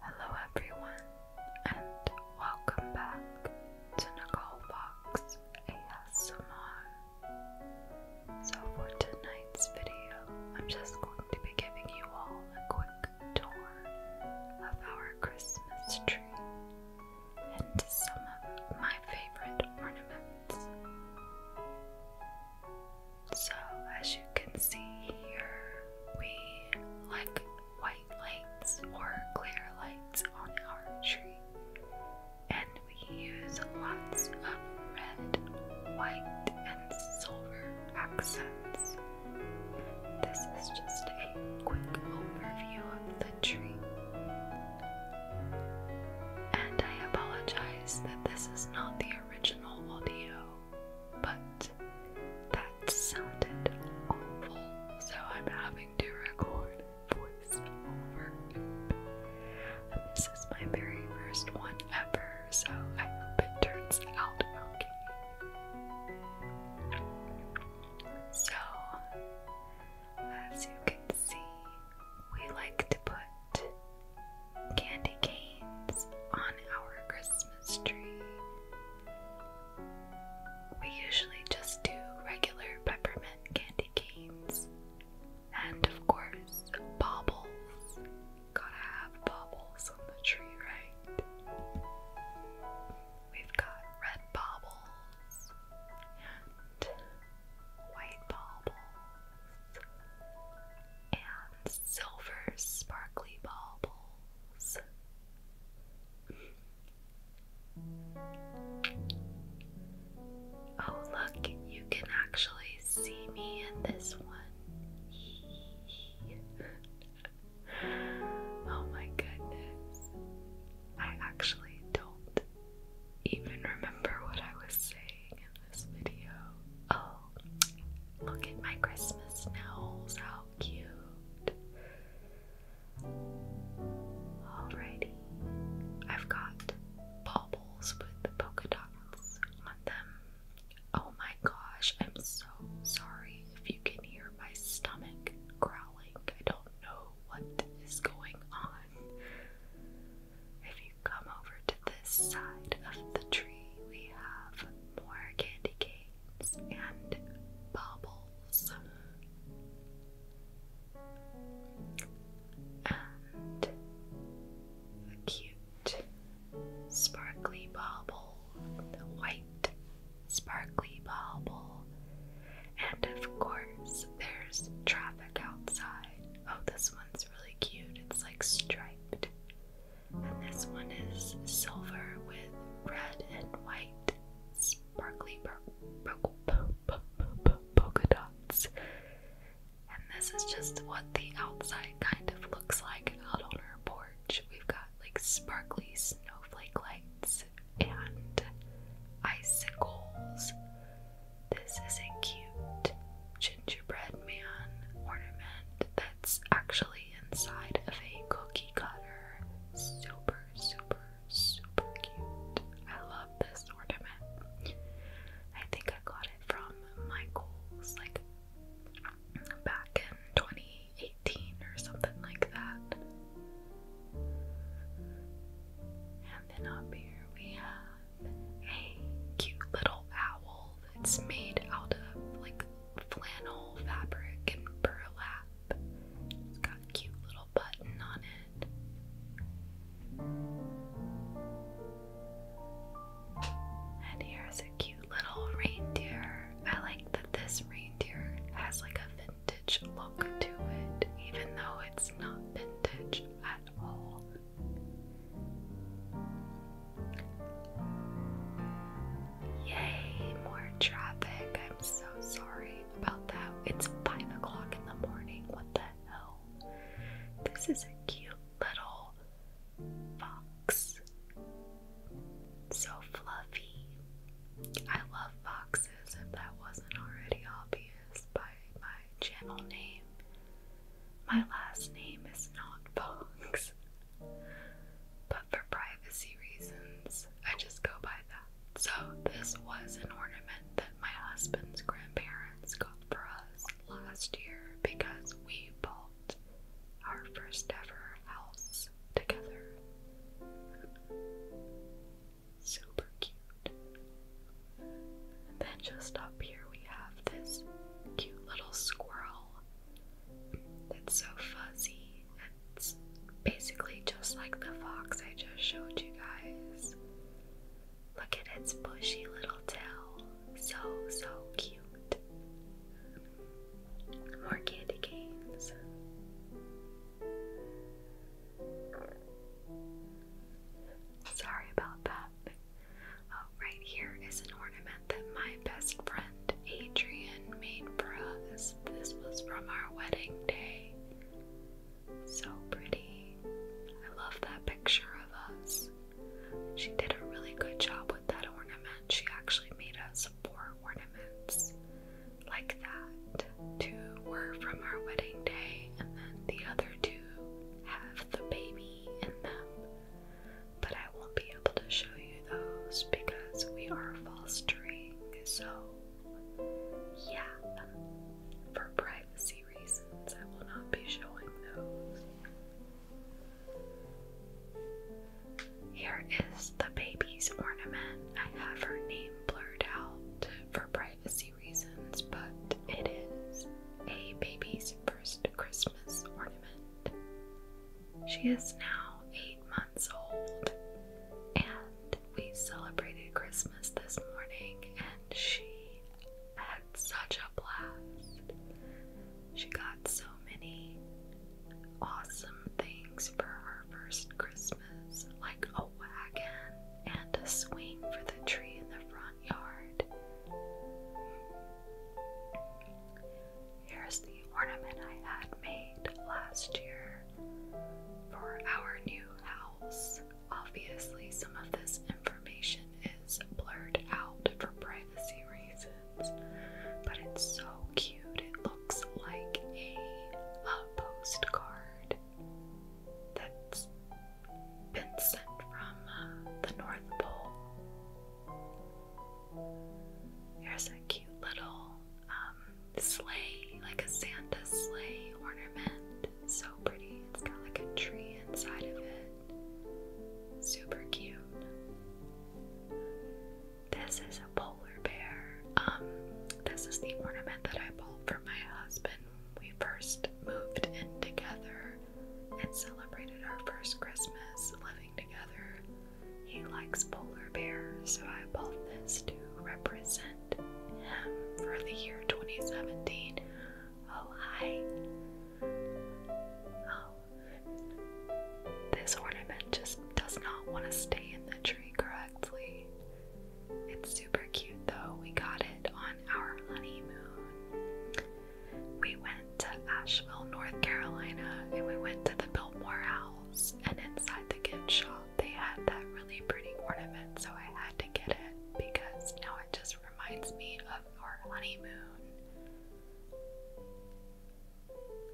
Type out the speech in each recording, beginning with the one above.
Hello, everyone, and welcome back to Nicole Fox ASMR. So, for tonight's video, I'm just going to be giving you all a quick tour of our Christmas tree and some of my favorite ornaments. So, as you can see here, we like white lights or clear lights on our tree, and we use lots of red, white, and silver accents. This is just a quick overview of the tree. And I apologize that this is not the original video but that sounded awful, so I'm having to record voice this is my very first one ever, so I hope it turns out okay. So, as you can see, we like to put candy canes on our Christmas tree. We usually just do regular peppermint candy canes. And of course, baubles. Gotta have baubles on the tree, right? We've got red baubles and white baubles and silver sparkly bubbles. Oh, look, you can actually see me in this one. oh my goodness. I actually don't even remember what I was saying in this video. Oh, Look at my Christmas smells. How cute. Alrighty. I've got baubles with polka dots on them. Oh my gosh, I'm so sorry if you can hear my stomach growling. I don't know what is going on. If you come over to this side of the tree, we have more candy cane and bubbles. And a cute sparkly bobble, white sparkly bobble. And of course, there's traffic outside. Oh, this one's really cute. It's like striped. And this one is silver with red and white sparkly polka dots. And this is just what the outside kind of looks like out on our porch. We've got like sparkly snowflake lights and icicles. This is a cute gingerbread man ornament that's actually inside of a cookie cutter. Super, super, super cute. I love this ornament. I think I got it from Michael's like back in 2018 or something like that. And then up here we have a cute little owl that's made out of like flannel fabric and burlap. It's got a cute little button on it. And here's a cute little reindeer. I like that this reindeer has like a vintage look to it, even though it's not vintage at all. Yay, more traffic. I'm so sorry about that. It's 5 o'clock in the morning. What the hell? This is a cute little fox. So fluffy. I love foxes, if that wasn't already obvious by my channel name. My last name is not Fox. But for privacy reasons, I just go by that. So, this was an ornament that my husband's grandparents got for us last year because we bought our first ever house together. Super cute. And then just up here we have this cute little squirrel it's so fuzzy. It's basically just like the fox I just showed you guys. Look at its bushy little tail. So, so cute. More candy canes. Sorry about that right here is an ornament that my best friend Adrian made for us. This was from our wedding day. So pretty. I love that picture of us. She did a really good job with that ornament. She actually made us four ornaments like that. Two were from our wedding day, and then the other two have the baby in them but I won't be able to show you those because we are fostering, so yeah, for privacy reasons, I will not be showing those. Here is the baby's ornament. I have her name blurred out for privacy reasons, but it is a baby's first Christmas ornament. She is now eight months old, and we celebrated Christmas this morning, and she had such a blast. She got so many awesome things for her first Christmas, like a wagon and a swing for the tree in the front yard. Here's the ornament I had made last year for our new house. Obviously, some of this information is blurred out for privacy reasons, but it's so cute. It looks like a, postcard that's been sent from uh, the North Pole. Here's a cute little um, sleigh, like a Santa sleigh ornament. So pretty. It's got like a tree inside of it. Super cute. This is a polar bear. Um, this is the ornament that I bought for my husband. We first moved in together and celebrated our first Christmas together. He likes polar bears, so I bought this to represent him for the year 2017. Oh, hi. Oh. This ornament just does not want to stay in the tree correctly. It's super cute though. We got it on our honeymoon we went to Asheville, North Carolina, and we went to the Biltmore House. And inside the gift shop, they had that really pretty ornament, so I had to get it because now it just reminds me of our honeymoon.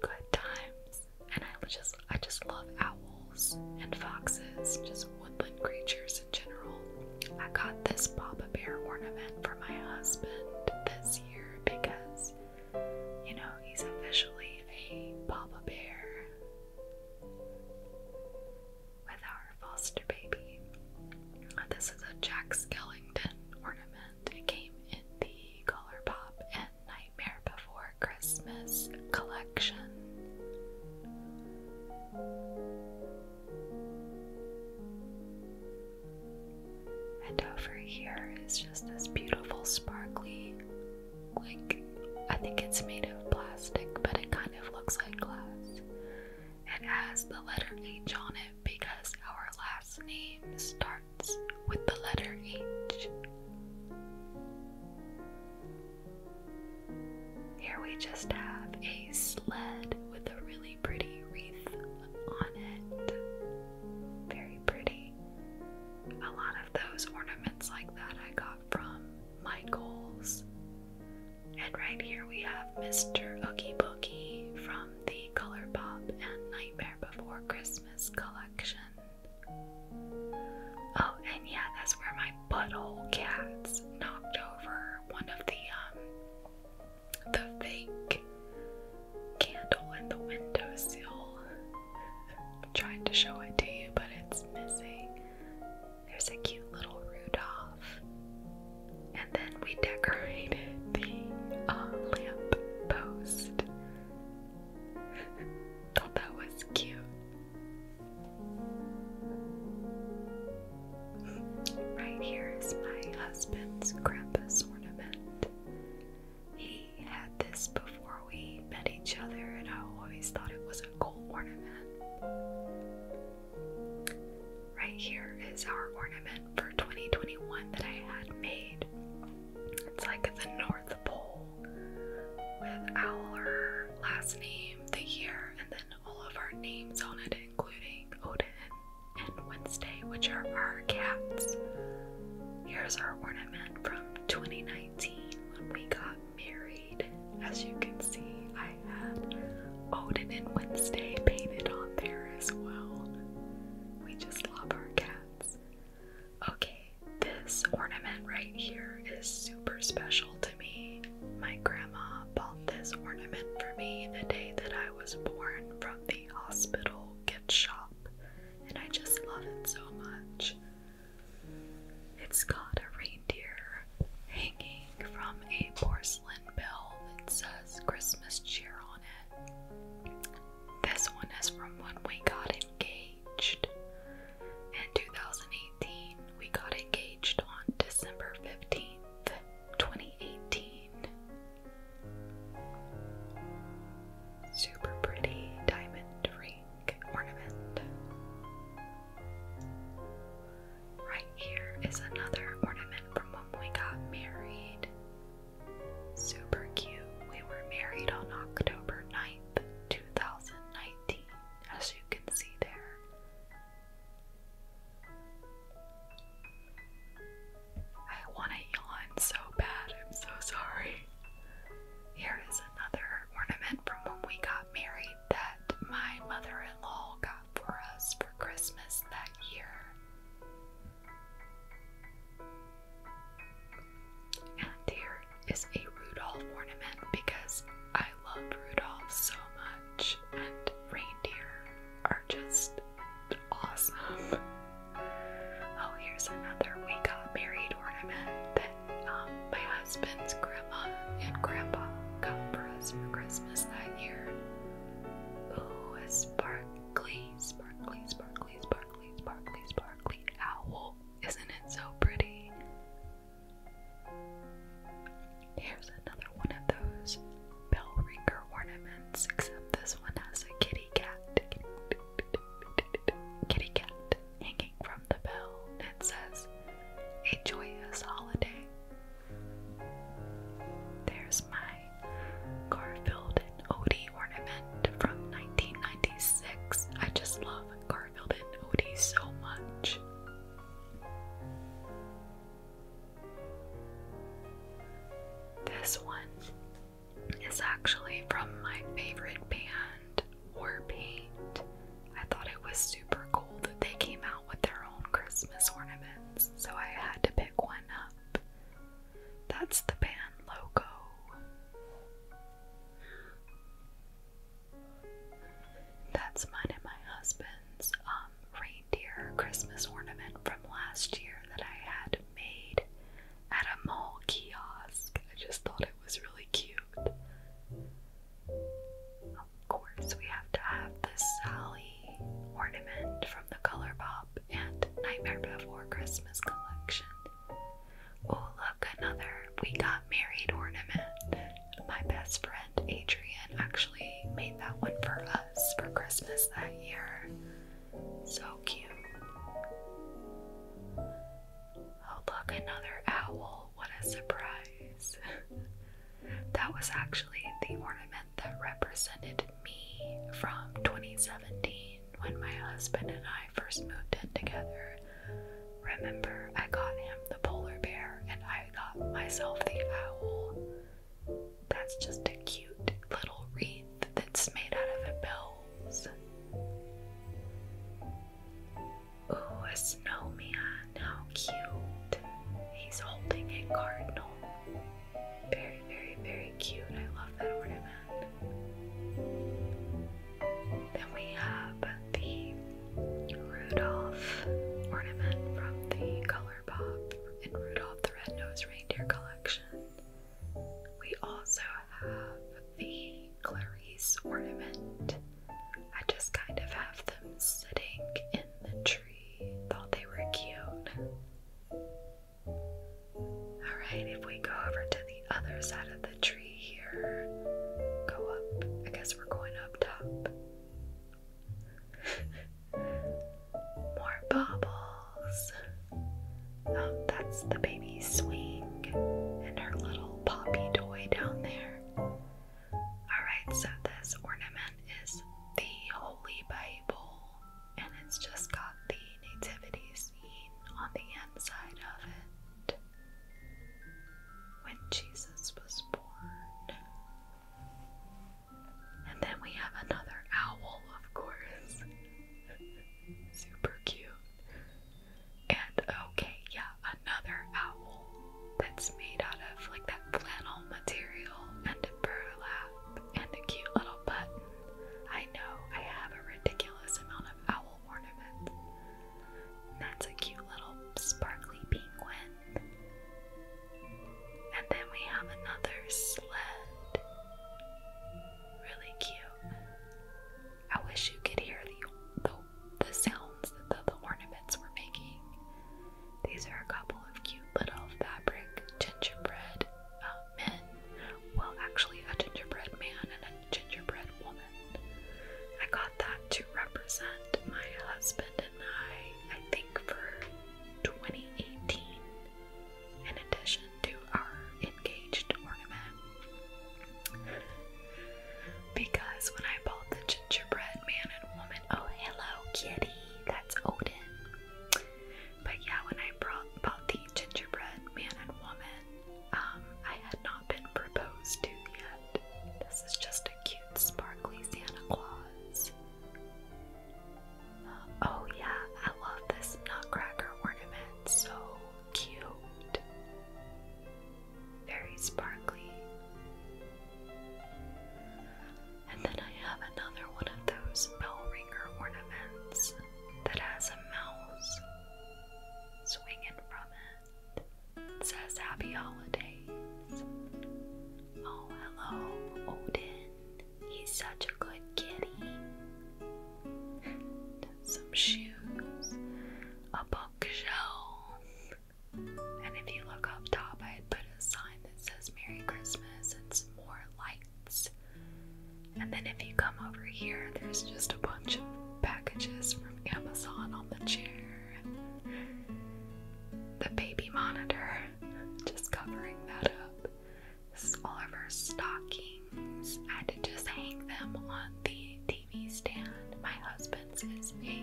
Good times. And I just, I just love owls and foxes, just woodland creatures in general. I got this Papa Bear ornament for my husband this year because you know, he's officially a Papa Bear with our foster baby. This is a Jack Skellington ornament. It came in the Colourpop and Nightmare Before Christmas collection. And over here is just this beautiful, sparkly, like I think it's made of plastic, but it kind of looks like glass. It has the letter H on it because our last name starts with the letter H. Here we just have a sled with a really pretty wreath on it. Very pretty. A lot of those ornaments like that I got from Michael's. And right here we have Mr. Oogie Boogie from the Color Pop and Nightmare Before Christmas collection. Oh, and yeah, that's where my butthole cats knocked over one of the um the fake candle in the window i trying to show it to you, but it's missing. There's a cute little Rudolph. And then we decorated the uh, lamp post. Thought that was cute. Right here is my husband's Krampus ornament. He had this before we met each other, and I always thought it was a cool ornament. Right here is our ornament for 2021 that I had made. It's like the North Pole with our last name, the year, and then all of our names on it, including Odin and Wednesday, which are our cats. Here's our ornament from 2019 when we got married. As you can see, I had Odin and Wednesday painted on there as well. We just love our cats. Okay, this ornament right here is super special to me. My grandma bought this ornament for me the day that I was born from the hospital gift shop, and I just love it so much. It's got a reindeer hanging from a porcelain bell that says Christmas cheer on it. This one is from when we got engaged. In 2018, we got engaged on December 15th. 2018. Super pretty diamond ring ornament. Right here is another ornament from when we got married. Super cute. We were married on October 9th, 2019, as you can see there. I want to yawn so bad. I'm so sorry. Here is another ornament from when we got married that my mother in law got for us for Christmas that year. And here is a Rudolph ornament because I love Rudolph so much and reindeer are just awesome. Oh, here's another we got married ornament that um, my husband's grandma and grandpa got for us for Christmas that year. Oh, a sparkly, sparkly, sparkly, sparkly, sparkly, sparkly owl. Isn't it so pretty? Here's another one of those bell ringer ornaments, except this one has a kitty cat. Kitty cat hanging from the bell. It says, A joyous holiday. There's my Garfield and Odie ornament from 1996. I just love Garfield and Odie so much. This one is actually from my favorite band, War Paint. I thought it was super cool that they came out with their own Christmas ornaments, so I had to pick one up. That's the band logo. That's mine and my husband's um, reindeer Christmas ornament from last year that I had made at a mall kiosk. I just thought it was really cute. Of course, we have to have the Sally ornament from the Color Pop and Nightmare Before Christmas collection. Oh, look, another We Got Married ornament. My best friend Adrian actually made that one for us for Christmas that year. So cute. Oh, look, another owl. What a surprise. that was actually the ornament that represented me from 2017 when my husband and I first moved in together. Remember, I got him the polar bear and I got myself the owl. That's just a cute little wreath that's made out of bells. Ooh, a snowman. How cute. He's holding a cardinal. Very, very, very cute. I love that ornament. Then we have the Rudolph ornament from the Color Pop and Rudolph the Red-Nosed Reindeer collection. We also have the Clarice ornament. I just kind of have them sitting in the tree. Thought they were cute. Alright, if we go over to the other side of the tree here, go up. I guess we're going up top. More baubles. Oh, that's the baby swing and her little poppy toy down there. Alright, so this ornament is the Holy Bible, and it's just got the nativity scene on the inside of it. When Jesus was born. And then we have another owl, of course. Super cute. And okay, yeah, another owl that's made out of like that flannel material and a burlap and a cute little button. I know I have a ridiculous amount of owl ornaments. That's a cute little sparkly penguin. And then we have another sled. Really cute. I wish you could hear the, the, sounds that the, ornaments were making. These are a couple of cute little fabric gingerbread uh, men. Well, actually, a gingerbread man and a gingerbread woman. I got that to represent my husband and I, I think for 2018 in addition to our engaged ornament. Because when I bought the gingerbread man and woman, oh hello kitty, that's Odin. But yeah, when I brought, bought the gingerbread man and woman, um, I had not been proposed to yet. This is just a cute, sparkly Santa Claus. Oh, yeah, I love this nutcracker ornament. So cute. Very sparkly. And then I have another one of those bell ringer ornaments that has a mouse swinging from it. says Happy Holidays. Oh, hello, Odin. He's such a good kitty. Some shoes, a bookshelf, and if you look up top, I put a sign that says Merry Christmas and some more lights. And then if you come over here, there's just a bunch of packages from Amazon on the chair. The baby monitor, just covering that up all of her stockings. I had to just hang them on the TV stand. My husband's is a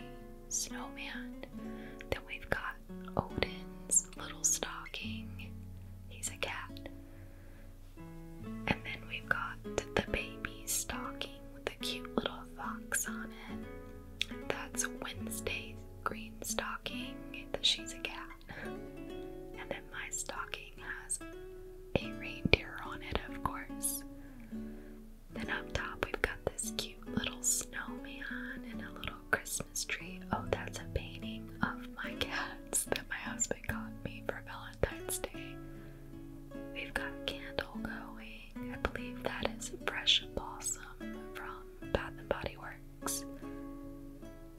snowman. Then we've got Odin's little stocking. He's a cat. And then we've got the baby's stocking with a cute little fox on it. That's Wednesday's green stocking. She's a cat. and then my stocking has a reindeer on it, of course. Then up top, we've got this cute little snowman and a little Christmas tree. Oh, that's a painting of my cats that my husband got me for Valentine's Day. We've got a candle going. I believe that is a fresh blossom from Bath and Body Works.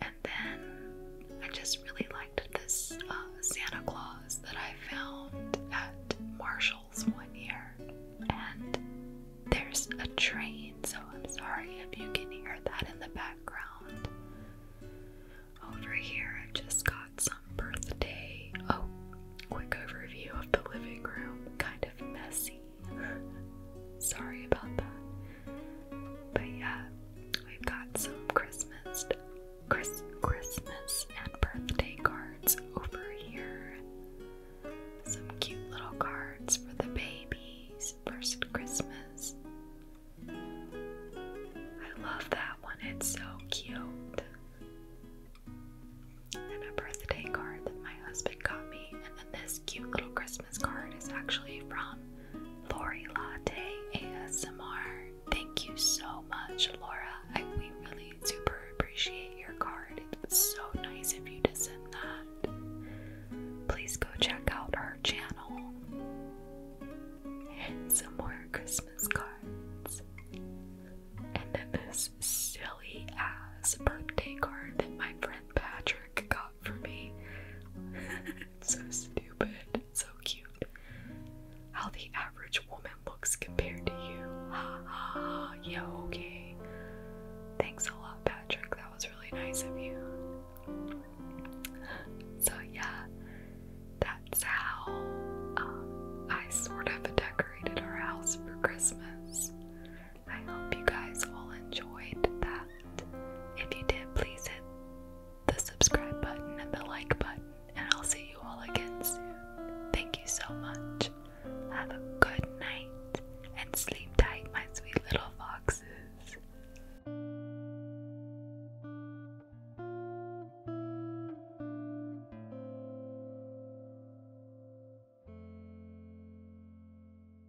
And then I just really liked this uh, Santa Claus that I found at Marshall's one year. And there's a train, so I'm sorry if you can hear that in the background. Over here, i just got some birthday. Oh, quick overview of the living room. Kind of messy, Sorry about that. But yeah, we've got some Christmas, Chris, Christmas and birthday cards over here. Some cute little cards for the babies' first Christmas. I love that one, it's so cute. And a birthday card that my husband got me, this cute little Christmas card is actually from Lori Latte ASMR. Thank you so much, Laura. I, we really super appreciate your card. It's so nice of you to send that. Please go check out our channel. And some more Christmas cards. And then this silly ass birthday card that my friend Patrick got for me. so stupid. so cute. How the average woman looks compared to you. Ha ha ha. Yeah, okay. Thanks a lot, Patrick. That was really nice of you. So, yeah, that's how um, I sort of decorated our house for Christmas. I hope you guys all enjoyed that. If you did, please hit the subscribe button and the like button, and I'll see you all again soon. Thank you so much. Have a good night and sleep tight, my sweet little foxes.